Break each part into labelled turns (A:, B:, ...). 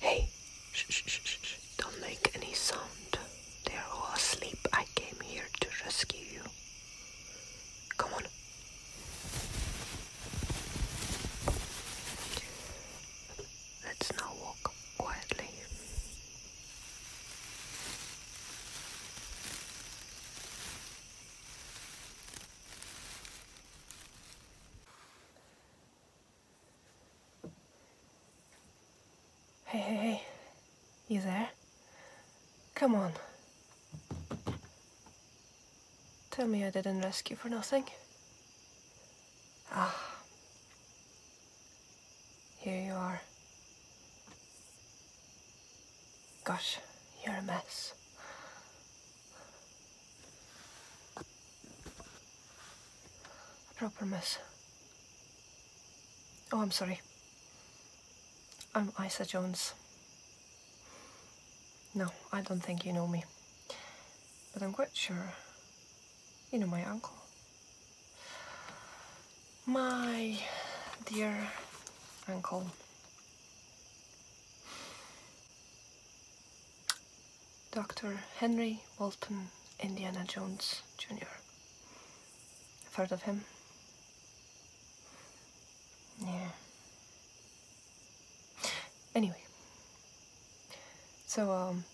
A: Hey, shh, shh, shh, shh, don't make any sound. They're all asleep. I came here to rescue you. Come on. Let's now walk quietly. Hey, hey, hey. You there? Come on. Tell me I didn't rescue for nothing. Ah. Here you are. Gosh, you're a mess. A proper miss. Oh, I'm sorry. I'm Isa Jones. No, I don't think you know me. But I'm quite sure you know my uncle. My dear uncle. Dr. Henry Walton Indiana Jones Jr. I've heard of him. Yeah. Anyway. So, um,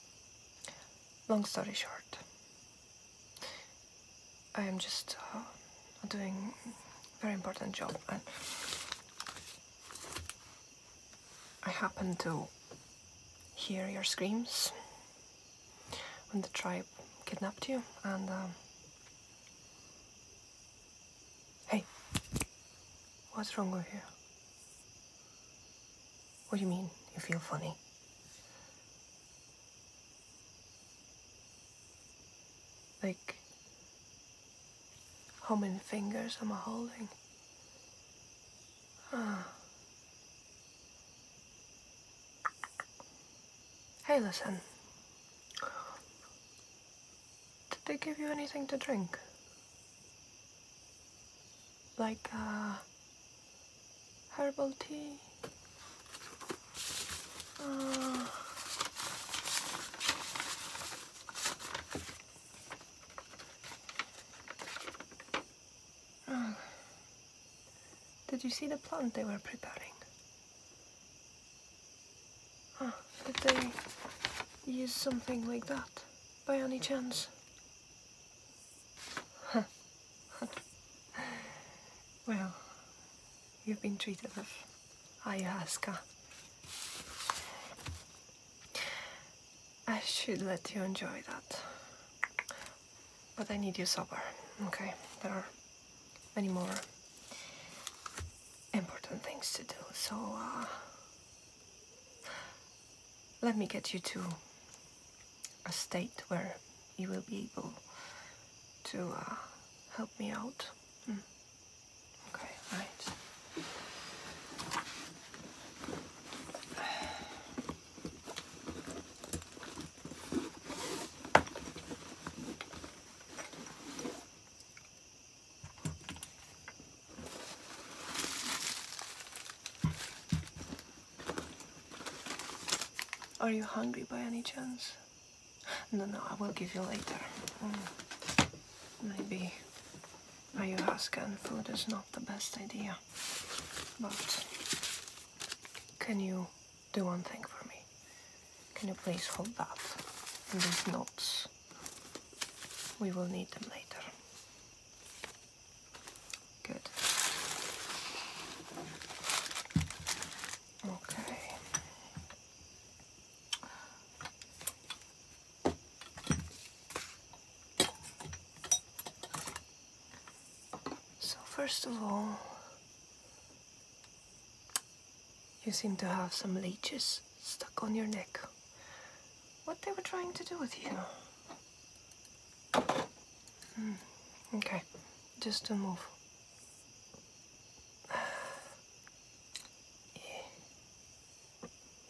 A: long story short, I am just uh, doing a very important job and I happened to hear your screams when the tribe kidnapped you and um, hey what's wrong with you what do you mean you feel funny like how many fingers am I holding hey, listen. Did they give you anything to drink? Like, uh, herbal tea? Uh, Did you see the plant they were preparing? Oh, did they use something like that by any chance? well, you've been treated with ayahuasca. I should let you enjoy that. But I need you sober, okay? There are many more important things to do, so uh, let me get you to a state where you will be able to uh, help me out. Hmm. Okay, right. Are you hungry by any chance? No, no, I will give you later. Mm. Maybe Ayahuasca and food is not the best idea. But can you do one thing for me? Can you please hold that and these notes? We will need them later. Good. Okay. So first of all, you seem to have some leeches stuck on your neck. What they were trying to do with you? Hmm, okay, just do move.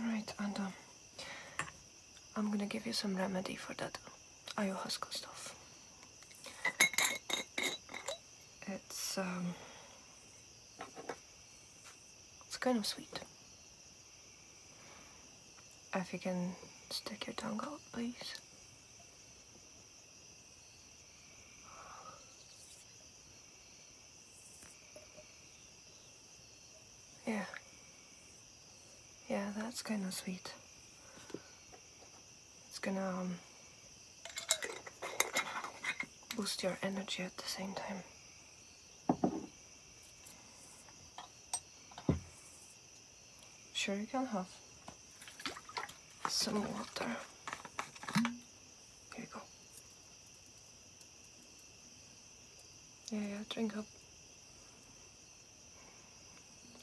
A: Right, and um, I'm gonna give you some remedy for that ayahuasca stuff. It's um, it's kind of sweet. If you can stick your tongue out, please. Yeah. Yeah, that's kind of sweet. It's gonna um, boost your energy at the same time. Sure, you can have some water. Here you go. Yeah, yeah, drink up.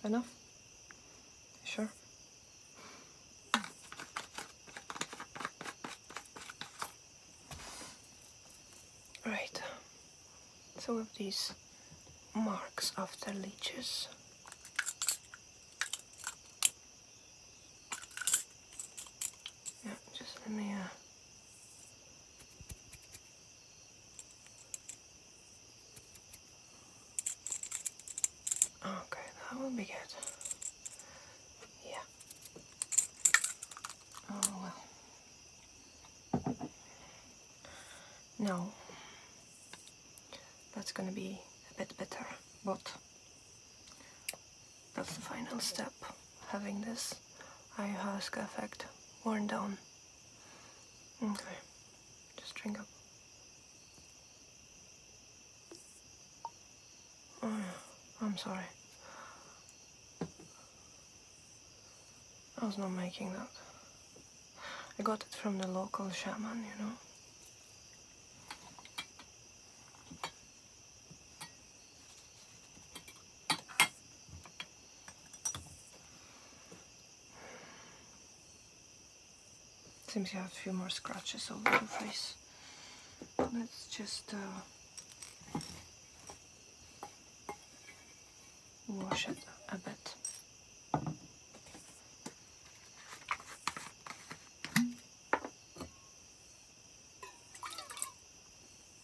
A: Enough? Sure. Right. So we these marks after leeches. Yeah, just let me uh, Okay, that will be good. Yeah. Oh well. No. That's gonna be a bit better, but that's the final step having this ayahuasca effect worn down. Okay, just drink up. Oh, I'm sorry. I was not making that. I got it from the local shaman, you know. Seems you have a few more scratches over the face. Let's just uh, wash it a bit.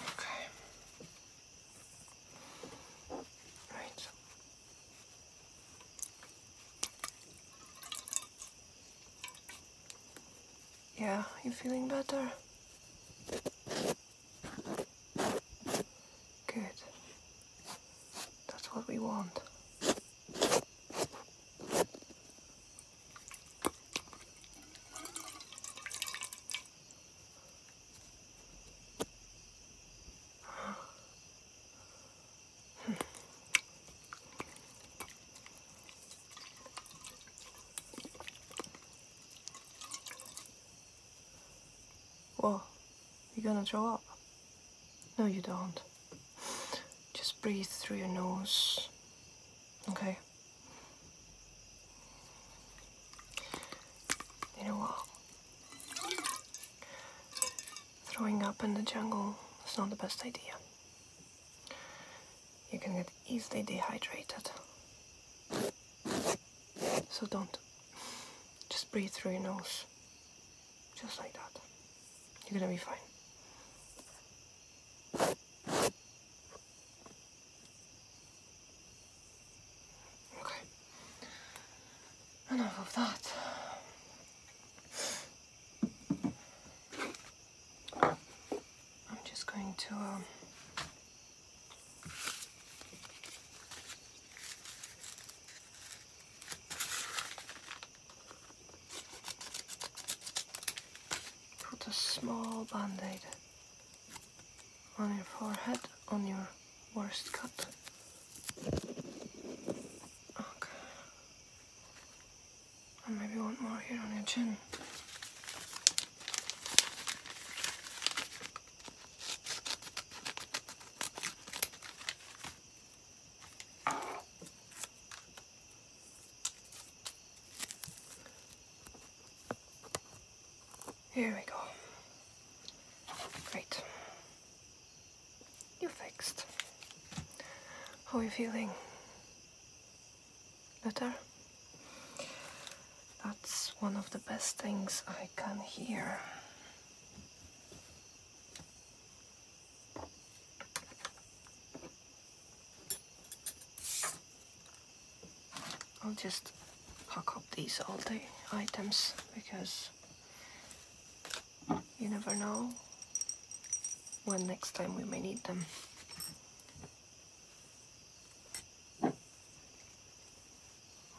A: Okay. Right. Yeah, you feeling better? Good. That's what we want. Well, you're gonna throw up. No, you don't. Just breathe through your nose. Okay? You know what? Throwing up in the jungle is not the best idea. You can get easily dehydrated. So don't. Just breathe through your nose. Just like that. You're gonna be fine. Okay. Enough of that. I'm just going to... Um, put a small band-aid on your forehead, on your worst cut. Okay. And maybe one more here on your chin. Here we go. Great. You're fixed. How are you feeling? Better? That's one of the best things I can hear. I'll just pack up these all the items because you never know when next time we may need them.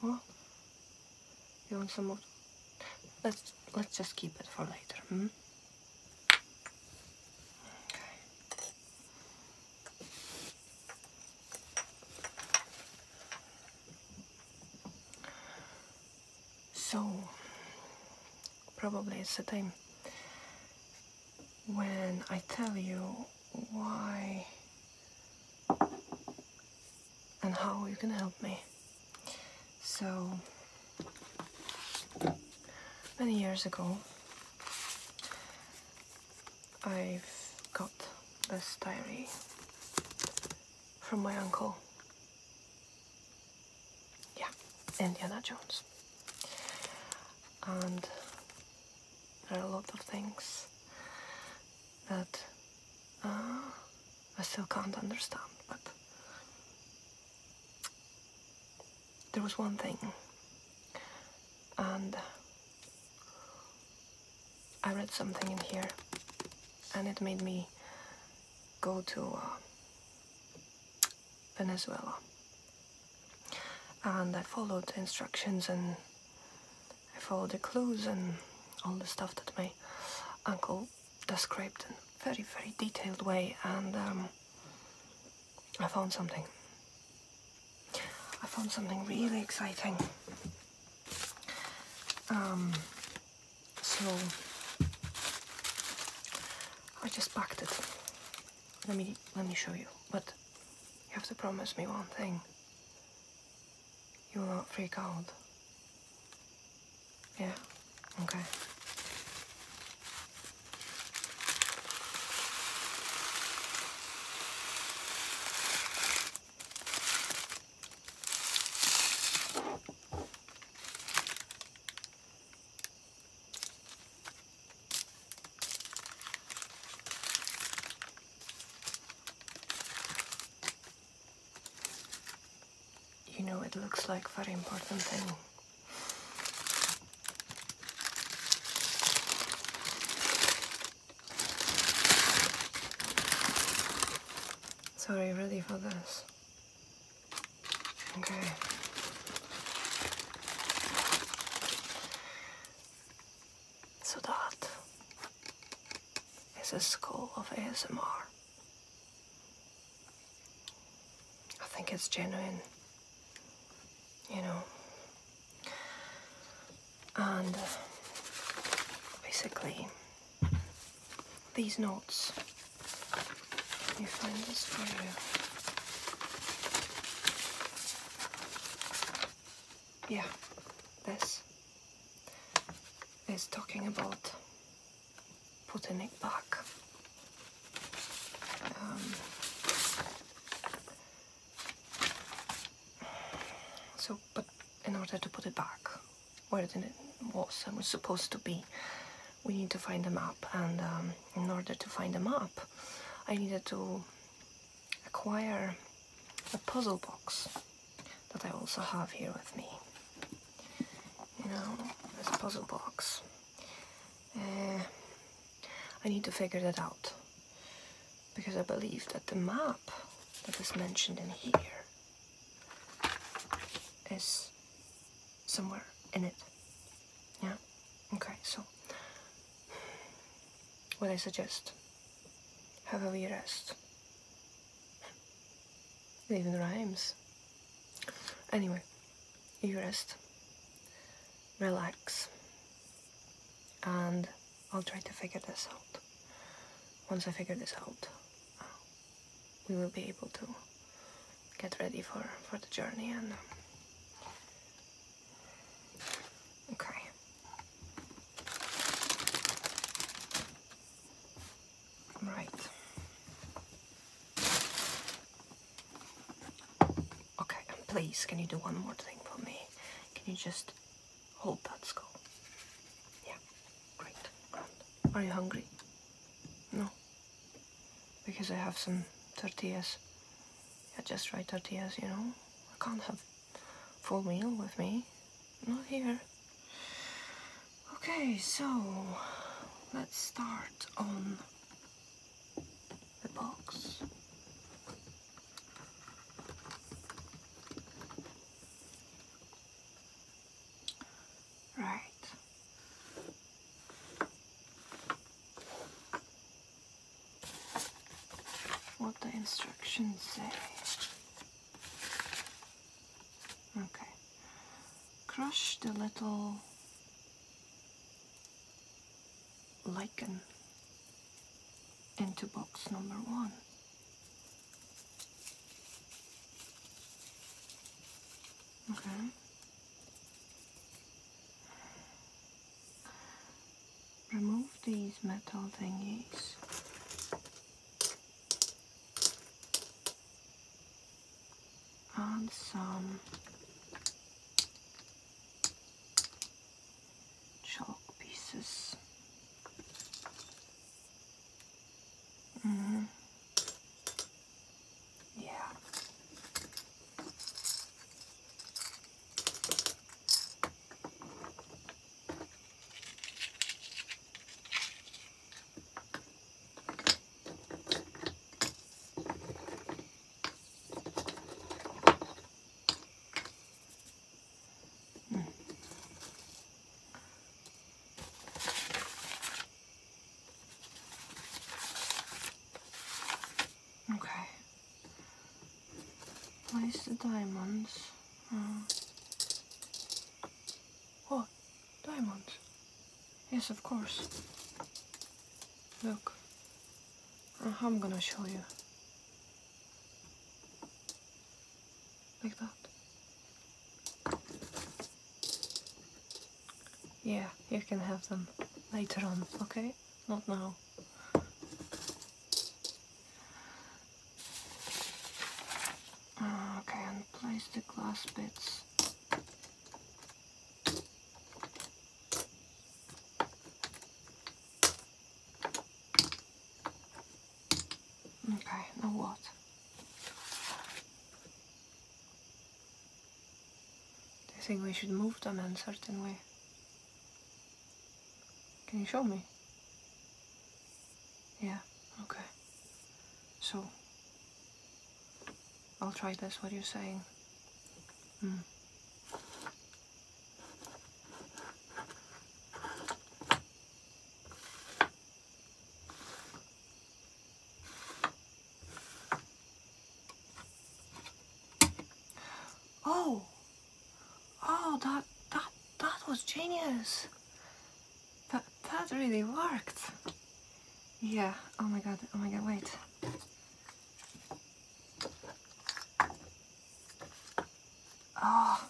A: What? You want some more? Let's let's just keep it for later. Hmm? So, probably it's the time when I tell you why and how you can help me. So, many years ago, I've got this diary from my uncle. Yeah, Indiana Jones. And there are a lot of things that uh, I still can't understand, but there was one thing, and I read something in here, and it made me go to uh, Venezuela. And I followed the instructions and I followed the clues and all the stuff that my uncle described in a very, very detailed way. And um, I found something. I found something really exciting. Um, so I just packed it. Let me let me show you. But you have to promise me one thing. You will not freak out. Yeah. Okay. You know, it looks like very important thing. So are you ready for this? Okay. So that is a school of ASMR. I think it's genuine. You know, and uh, basically, these notes, you find this for you. Yeah, this is talking about putting it back. Um, so, but in order to put it back where it was and was supposed to be, we need to find the map. And um, in order to find the map, I needed to acquire a puzzle box that I also have here with me. You know, this puzzle box. Uh, I need to figure that out because I believe that the map that was mentioned in here is somewhere in it. Yeah? Okay, so what I suggest, have a wee rest. It even rhymes. Anyway, you rest, relax, and I'll try to figure this out. Once I figure this out, uh, we will be able to get ready for, for the journey and... Um, okay. Right. Okay, and please, can you do one more thing for me? Can you just hold that skull? Yeah, great, Are you hungry? No, because I have some tortillas. Yeah, just right tortillas, you know? I can't have full meal with me. Not here. Okay, so let's start on the box. Right. What the instructions say. Okay. Crush the little lichen into box number one. Okay. Remove these metal thingies. and some chalk pieces. Mm-hmm. Yeah. Okay. Place the diamonds. Oh. What? Diamonds? Yes, of course. Look. Uh, I'm gonna show you. Like that. Yeah, you can have them later on, okay? Not now. Ah, okay, and place the glass bits Okay, now what? I think we should move them in a certain way? Can you show me? Yeah, okay. So, I'll try this, what you're saying. Mm. Oh, oh, that, that, that was genius. That, that really worked. Yeah, oh my god, oh my god, wait. Oh.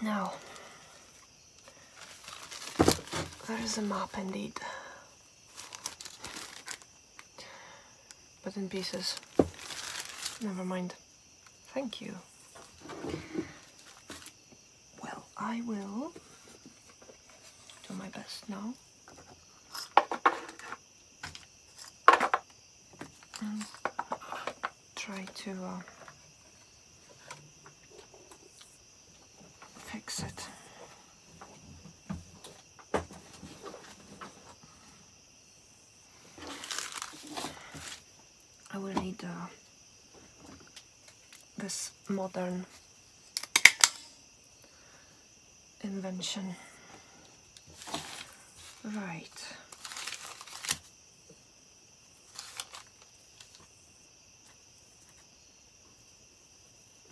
A: No. That is a mop indeed. But in pieces. Never mind. Thank you. Well, I will do my best now and try to uh, fix it. I will need uh, this modern invention. Right.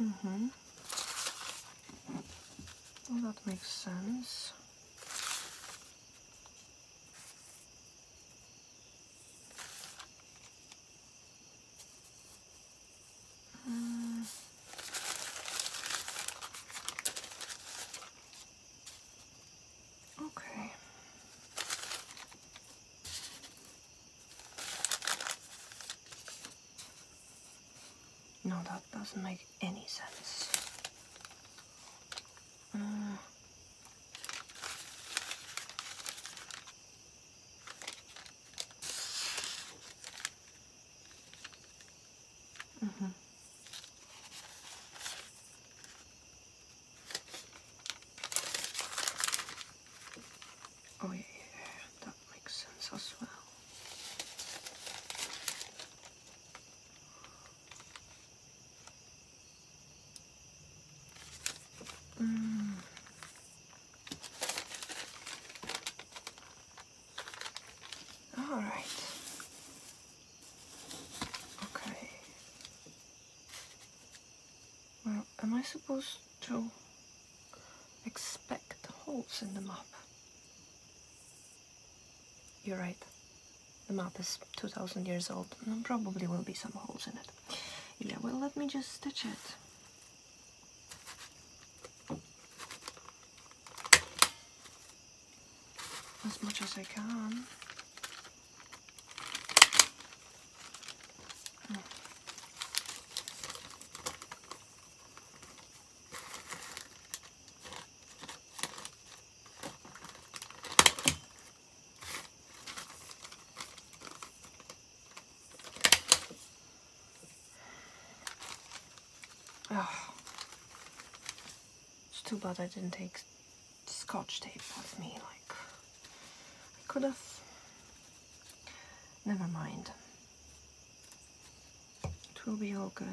A: Mm-hmm. that makes sense. Uh, okay. No, that doesn't make any sense. Uh, Mm-hmm. Oh yeah, yeah, that makes sense as well. Mm. All right. Okay. Well, am I supposed to expect holes in the map? You're right. The map is 2,000 years old and probably will be some holes in it. Yeah, well, let me just stitch it as much as I can. Oh, it's too bad I didn't take scotch tape with me. Like, I could have. Never mind. It will be all good.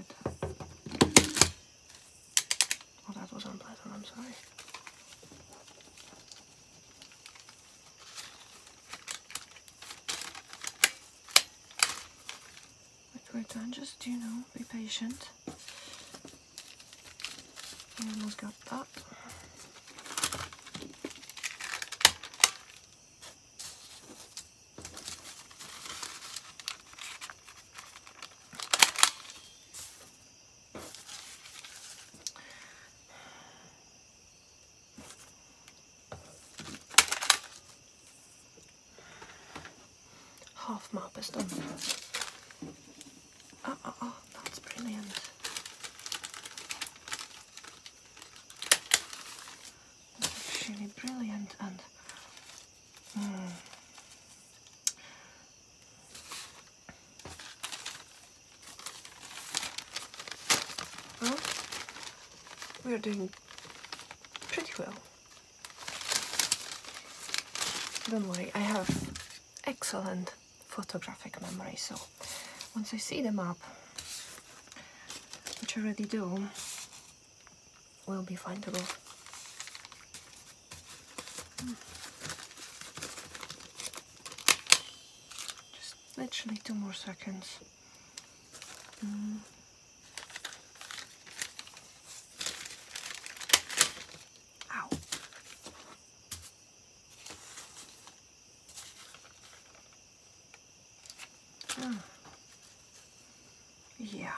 A: Oh, that was unpleasant. I'm sorry we're done. Just, you know, be patient. We almost got that. Half map is done. Oh, that's brilliant. That's really brilliant and... Hmm we are doing pretty well. Don't worry, I have excellent photographic memory, so once I see the map, which I already do, we will be findable. Just literally two more seconds. Ow. Yeah.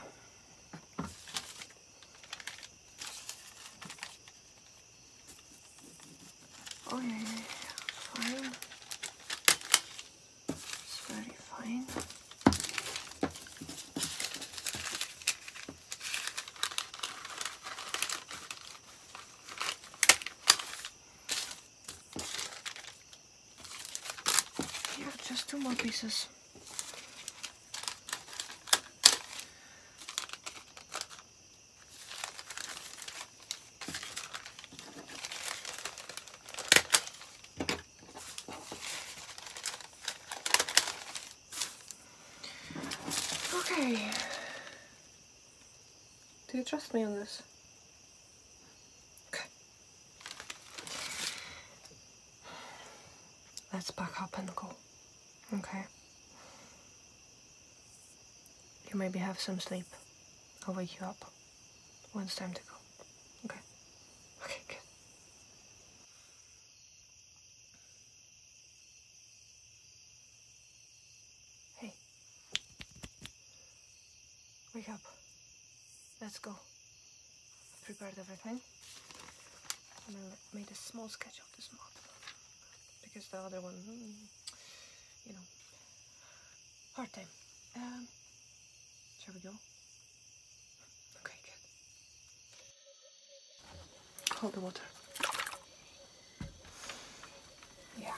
A: Okay, fine. It's very fine. Yeah, just two more pieces. Okay. Do you trust me on this? Okay. Let's back up and go. Okay. You maybe have some sleep. I'll wake you up. When it's time to go. Okay. Okay, good. Hey. Wake up. Let's go. prepared everything. I made a small sketch of this map. Because the other one, mm, you know, hard time. Um, shall we go? Okay, good. Hold the water. Yeah.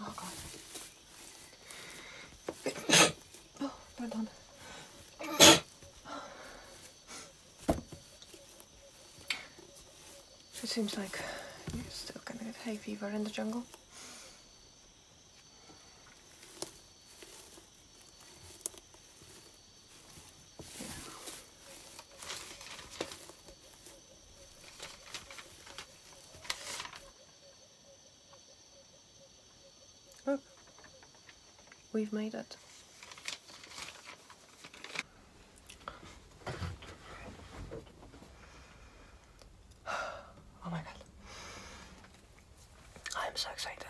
A: Oh god. oh, pardon. Oh. It seems like you're still gonna get hay fever in the jungle. Look, oh. we've made it. Oh my god. I am so excited.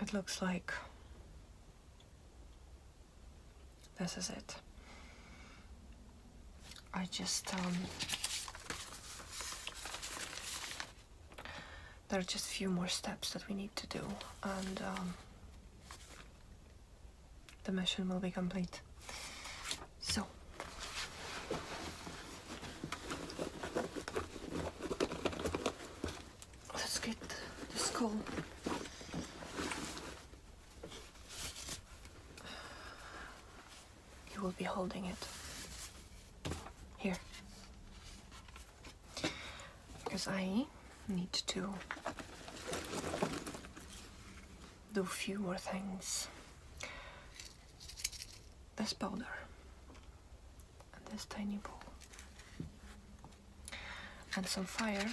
A: It looks like this is it. I just um, there are just a few more steps that we need to do and um, the mission will be complete. So. Let's get the skull. You will be holding it. Here. Because I need to do fewer things. This powder and this tiny ball and some fire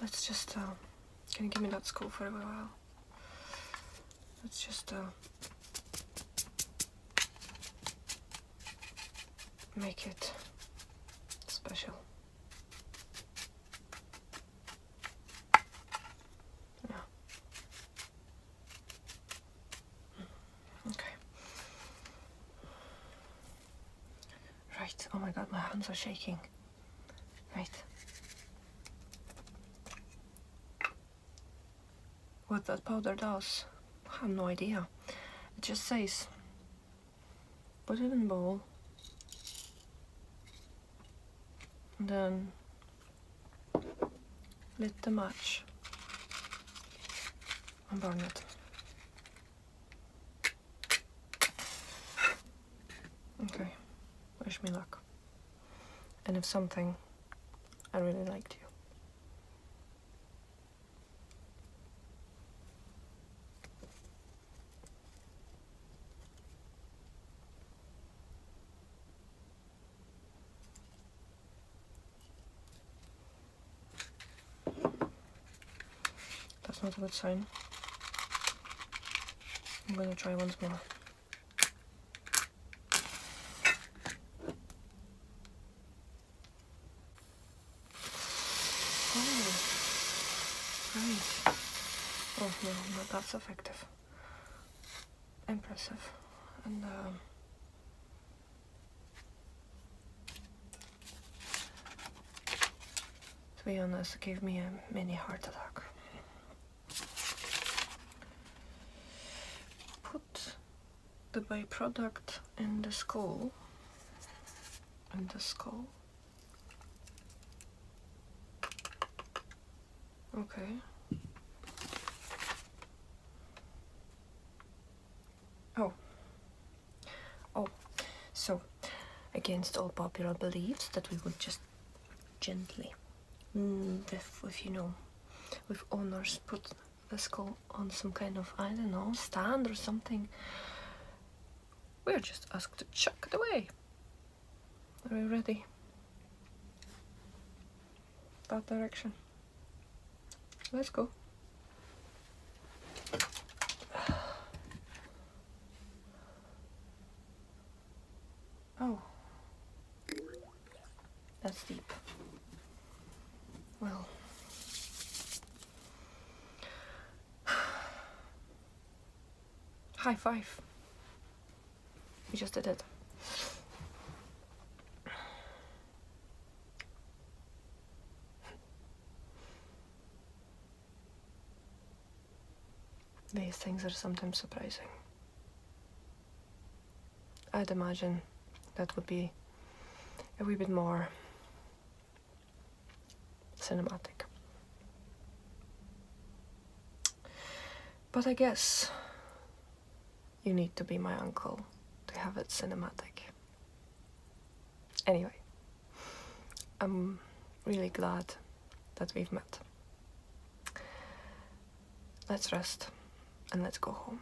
A: Let's just, uh, can you give me that school for a while? Let's just, uh, make it special. Yeah. Hmm. Okay. Right, oh my god, my hands are shaking. Right. What that powder does, I have no idea. It just says, put it in bowl, then lit the match and burn it. Okay, wish me luck. And if something, I really liked you. That's not a good sign. I'm gonna try once more. Oh, Oh no, no that's effective. Impressive. And um, to be honest, it gave me a mini heart attack. Put the byproduct in the skull. In the skull. Okay. Oh, Oh, so against all popular beliefs that we would just gently, mm, if you know, with honors, put the skull on some kind of, I don't know, stand or something. We're just asked to chuck it away. Are we ready? That direction. Let's go. Oh. That's deep. Well. High five. We just did it. These things are sometimes surprising. I'd imagine that would be a wee bit more cinematic. But I guess you need to be my uncle to have it cinematic. Anyway, I'm really glad that we've met. Let's rest and let's go home.